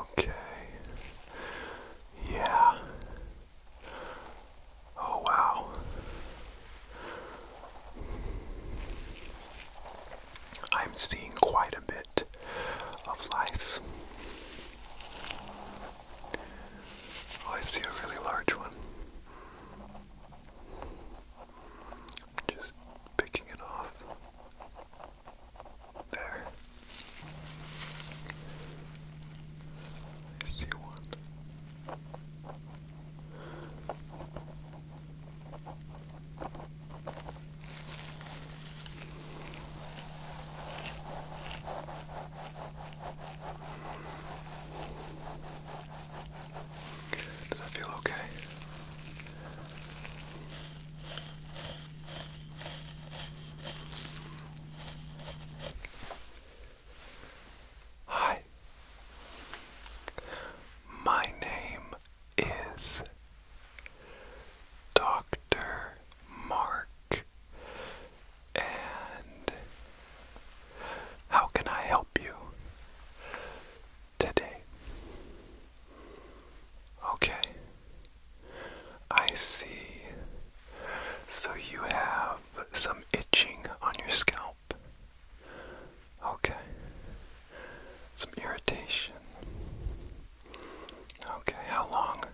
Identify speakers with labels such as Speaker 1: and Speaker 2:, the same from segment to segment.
Speaker 1: Okay. Yeah. Oh, wow. I'm seeing quite a bit of lice. Oh, I see a really large one. Just picking it off. There. I see one. Does that feel okay? Hi. My name is Dr. Mark. And how can I help you today? Okay. I see. So you have some itching on your scalp. Okay. Some irritation. Okay, how long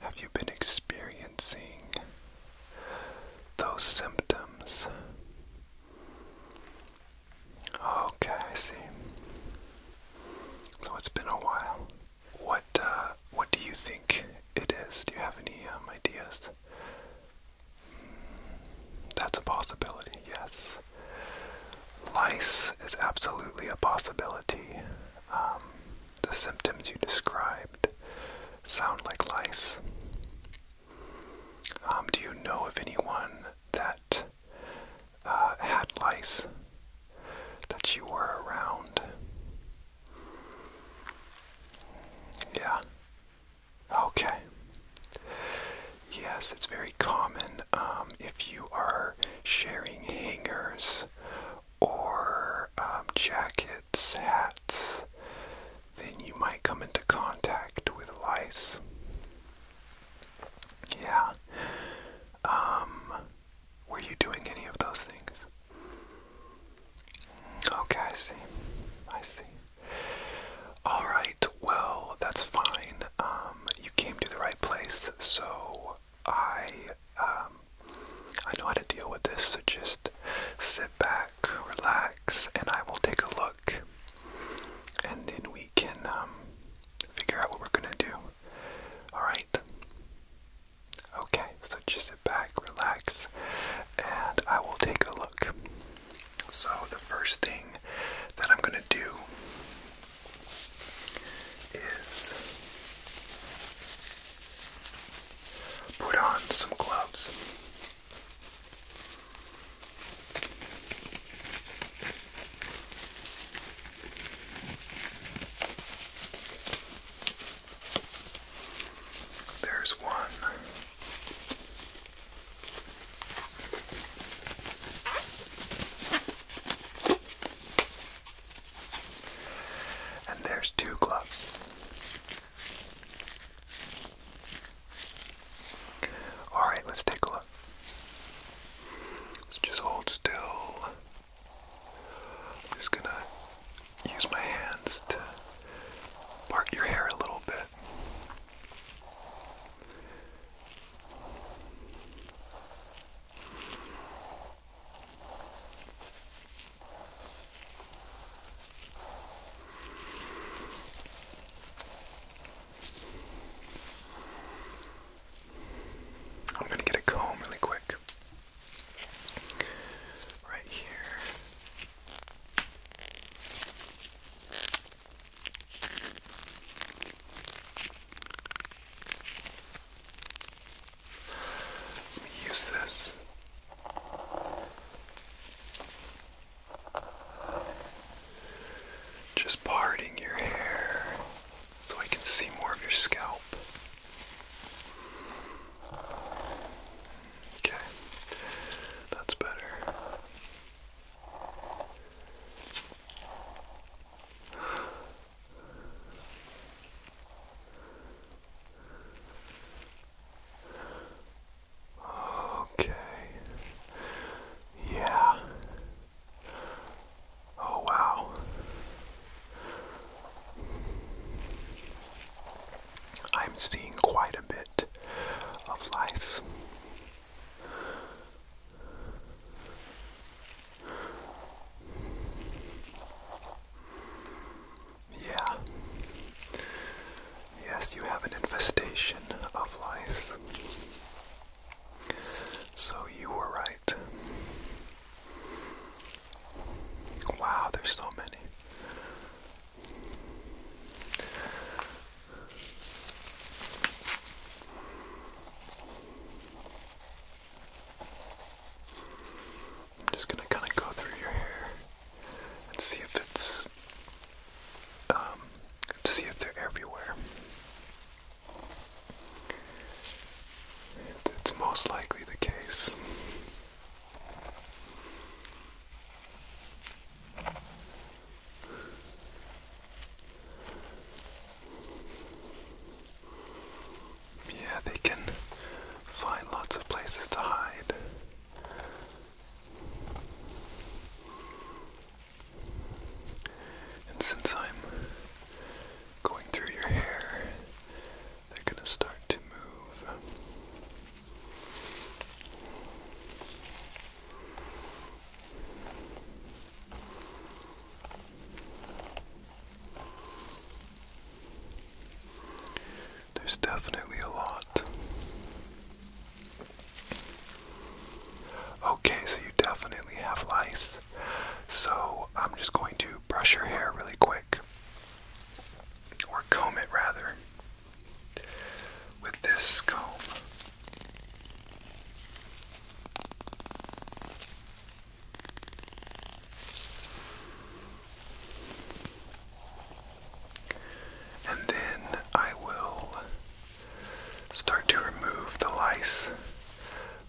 Speaker 1: have you been experiencing those symptoms? Okay, I see. So it's been a while. What uh, what do you think it is? Do you have any um, ideas? that's a possibility. Yes, lice is absolutely a possibility. Um, the symptoms you described sound like lice. Um, do you know of anyone that uh, lice that you were around. Yeah. Okay. Yes, it's very common um, if you are sharing hangers or um, jackets, hats, then you might come into contact with lice. Yeah. Um, were you doing any of those things? Okay, I see. I see. Alright, well, that's fine. Um, you came to the right place, so I, um, I know how to deal with this, so just sit back, relax, and I will take a look. And then we can, um, figure out what we're gonna do. Alright? Okay, so just sit back, relax, and I will take a look. So, the first thing that I'm gonna do is put on some gloves. There's one. And there's two gloves. All right, let's take a look. Let's just hold still. I'm just gonna use my hands to part your hair a little bit. I'm gonna get a comb really quick. Right here. use this. Just parting your hair so I can see more of your scalp. Okay, that's better. Okay. Yeah. Oh, wow. I'm seeing quite a bit of lice. Yeah. Yes, you have an infestation of lice. So you were right. Wow, there's so many. I'm just gonna kind of go through your hair and see if it's, um, see if they're everywhere. It's most likely the case. Yeah, they can find lots of places to hide. And since I'm going through your hair, they're going to start to move. There's definitely a lot. Okay, so you definitely have lice. So I'm just going to brush your hair really quick, or comb it rather, with this comb. And then I will start to remove the lice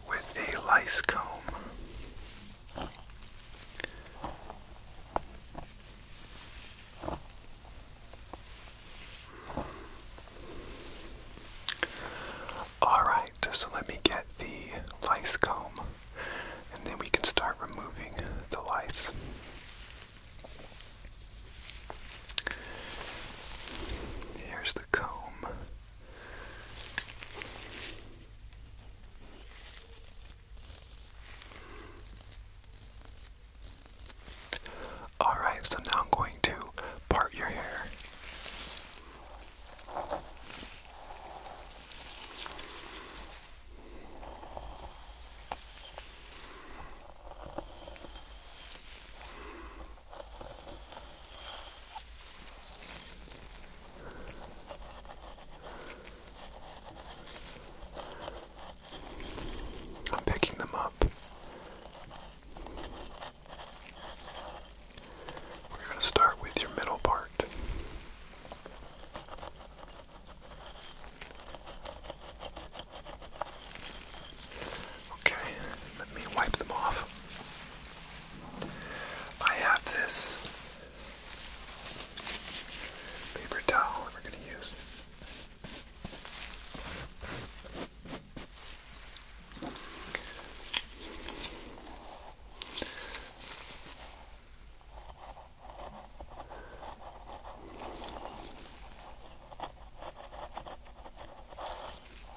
Speaker 1: with a lice comb. Alright, so let me get the lice comb and then we can start removing the lice. Here's the comb. Alright, so now I'm going to part your hair. I'm picking them up. We're going to start with your middle part. Okay, let me wipe them off. I have this paper towel we're going to use.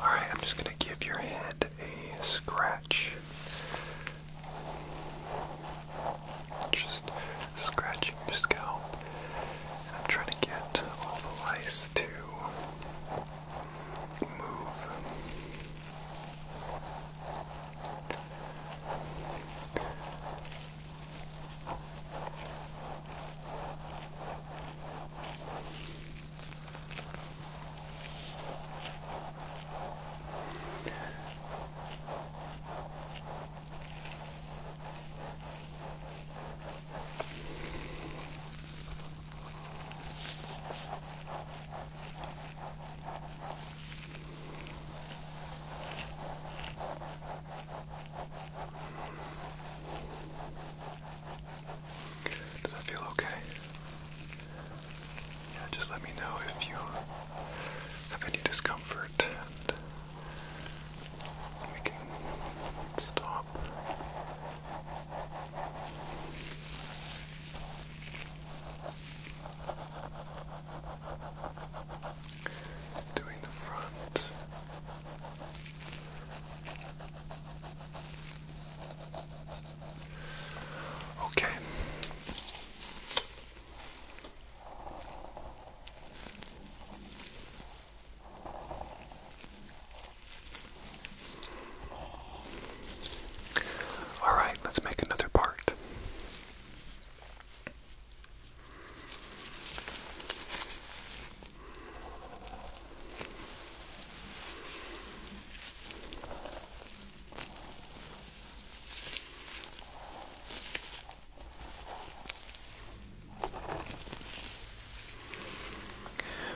Speaker 1: All right, I'm just going to give your head a scratch. Just scratching your scalp. I'm trying to get all the lice to move. Does that feel okay? Yeah, just let me know if you have any discomfort we can stop. Doing the front. Okay. Alright, let's make another part.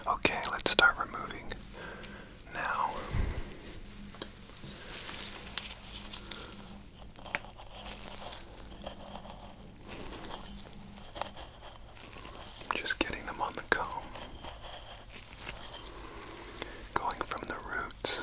Speaker 1: Okay, let's start removing now. Just getting them on the comb. Going from the roots.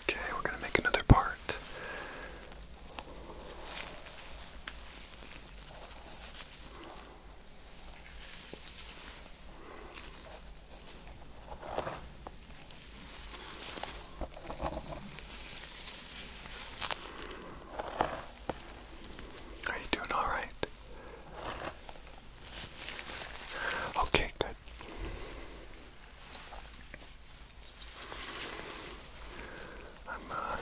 Speaker 1: Okay, we're going to make another part. Are you doing all right? Okay, good. I'm uh,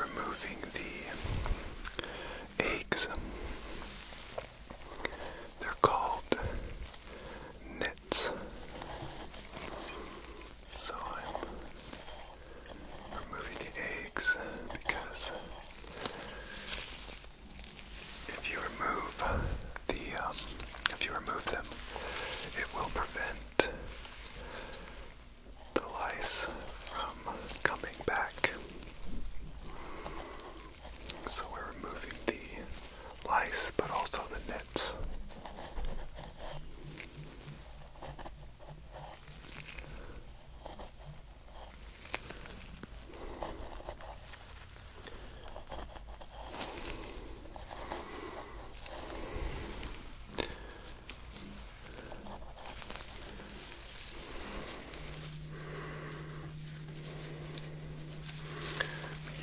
Speaker 1: removing the eggs. They're called nits. So I'm removing the eggs because if you remove the um, if you remove them, it will prevent the lice from coming back. So we're removing the lice, but also the nets.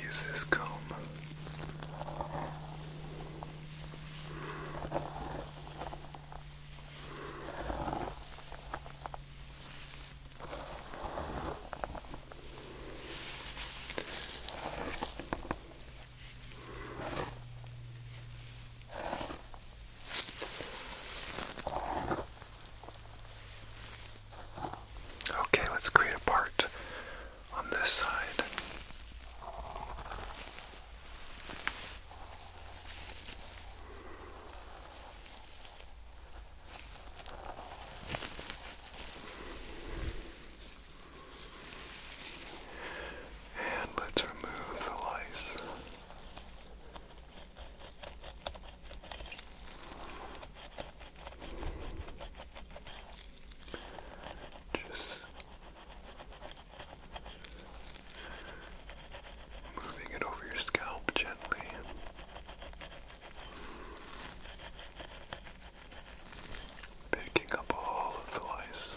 Speaker 1: Use this comb. Okay, let's create a part on this side. And let's remove the lice. Just Moving it over your scalp gently. Picking up all of the lice.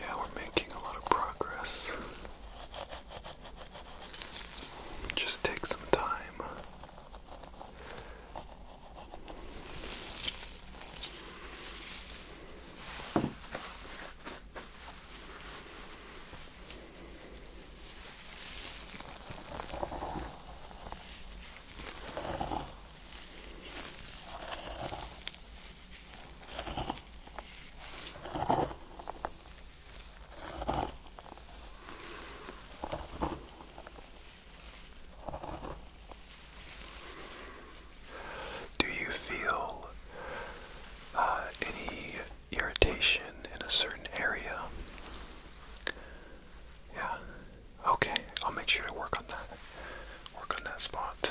Speaker 1: Yeah, we're making a lot of progress. Just take some time. Do you feel uh, any irritation in a certain area? Yeah. Okay, I'll make sure to work on that. Work on that spot.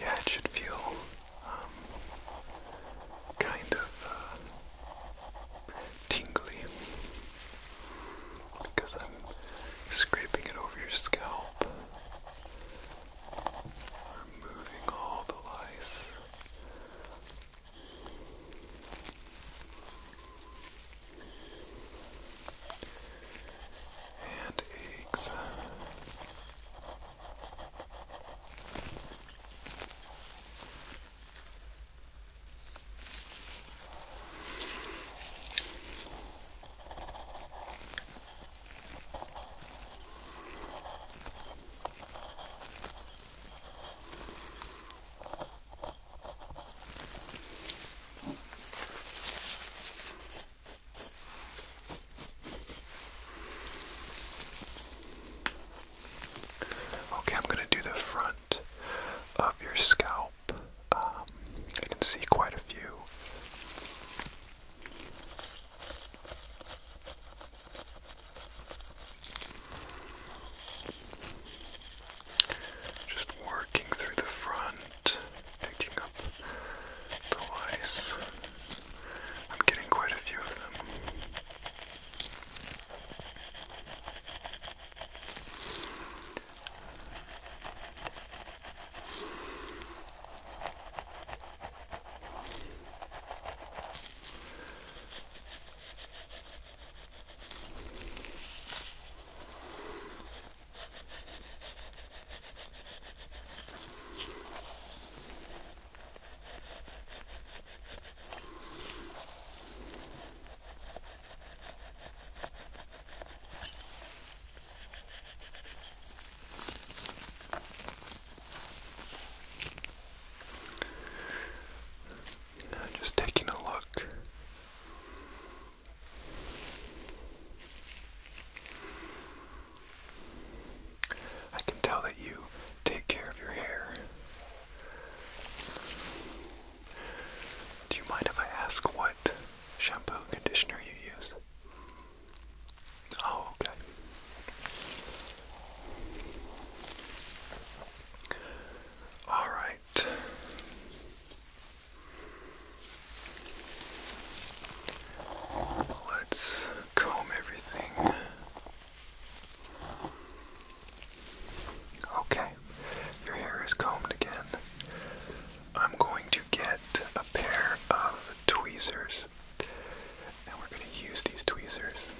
Speaker 1: yeah, it should feel um, kind of uh, tingly because I'm scraping it over your scalp. Removing all the lice and eggs. Okay, I'm going to do the front of your scalp. Um, I can see quite a few. Just working through the front, picking the lice. I'm getting quite a few of them. Just taking a look I can tell that you take care of your hair. Do you mind if I ask what shampoo conditioner you use? Oh, okay. All right. Let's comb everything. Okay, your hair is combed again. I'm going to get a pair of tweezers, and we're going to use these tweezers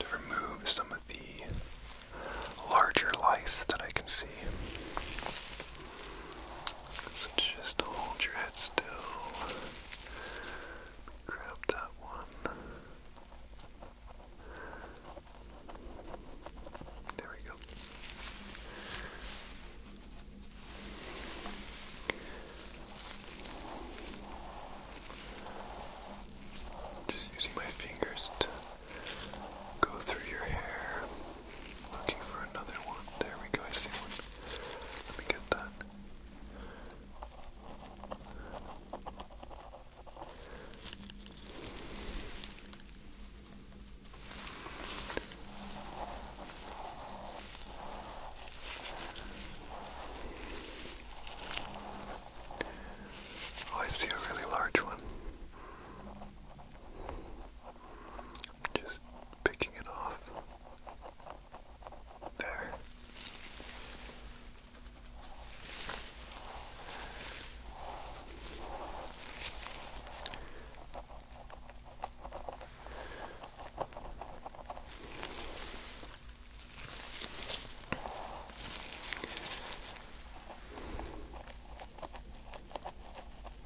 Speaker 1: to remove some of the larger lice that I can see. So just hold your head still. Grab that one. There we go. Just using my fingers to go through your hair. Looking for another one. There we go, I see one. Let me get that. Oh, I see a really large one. Just picking it off. There.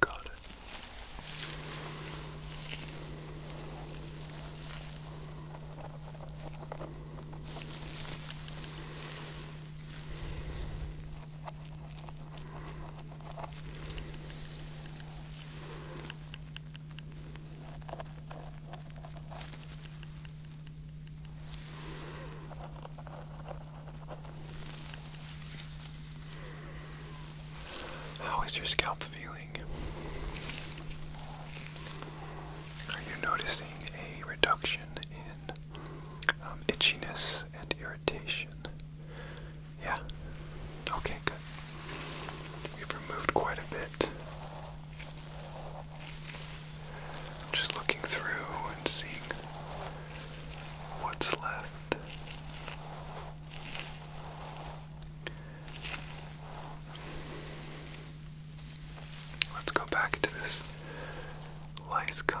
Speaker 1: Got it. How is your scalp feeling? Are you noticing a reduction in um, itchiness and irritation? Yeah? Okay, good. We've removed quite a bit. Just looking through and seeing what's left. Let's go back to this lice comb.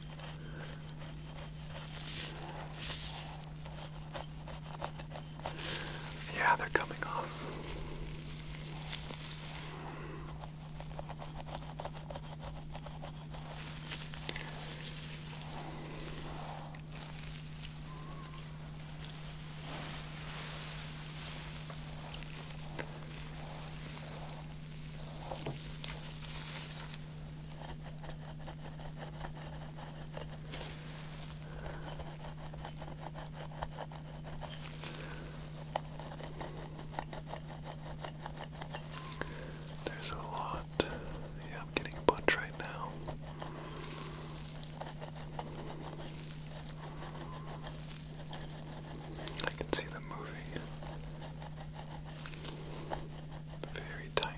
Speaker 1: Yeah, they're coming off. There's a lot. Yeah, I'm getting a bunch right now. I can see the movie. Very tiny.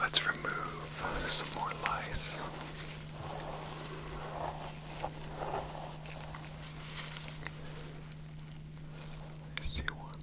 Speaker 1: Let's remove some more lice. I see one.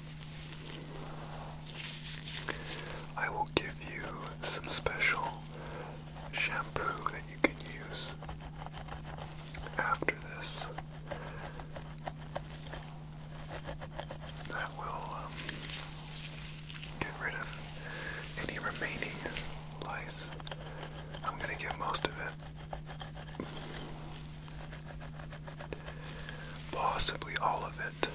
Speaker 1: I will give you some special shampoo that you can use after this. That will um, get rid of any remaining lice. I'm going to get most of it. Possibly all of it.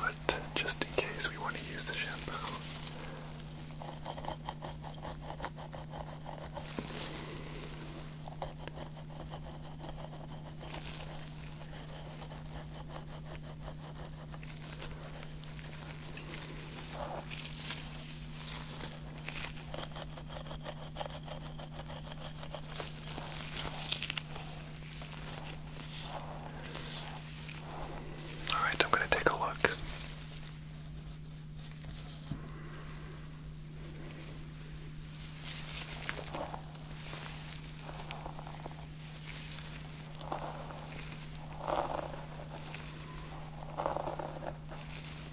Speaker 1: But just in case we want to use the shampoo. All right, I'm going to take a look.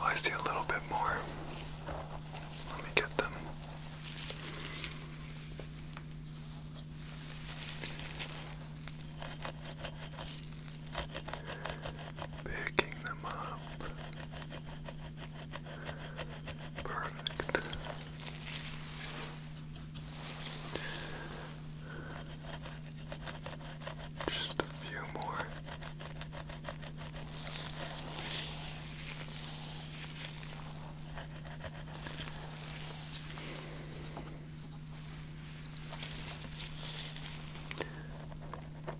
Speaker 1: Oh, I see a little bit more. Let me get them. Picking them up. Perfect. Just a few more.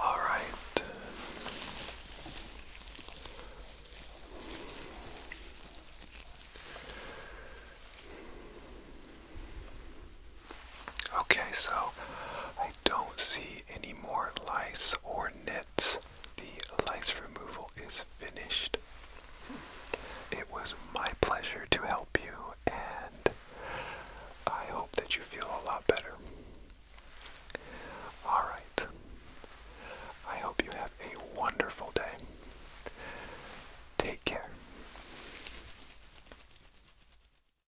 Speaker 1: All right. Okay, so don't see any more lice or nits. The lice removal is finished. It was my pleasure to help you, and I hope that you feel a lot better. Alright. I hope you have a wonderful day. Take care.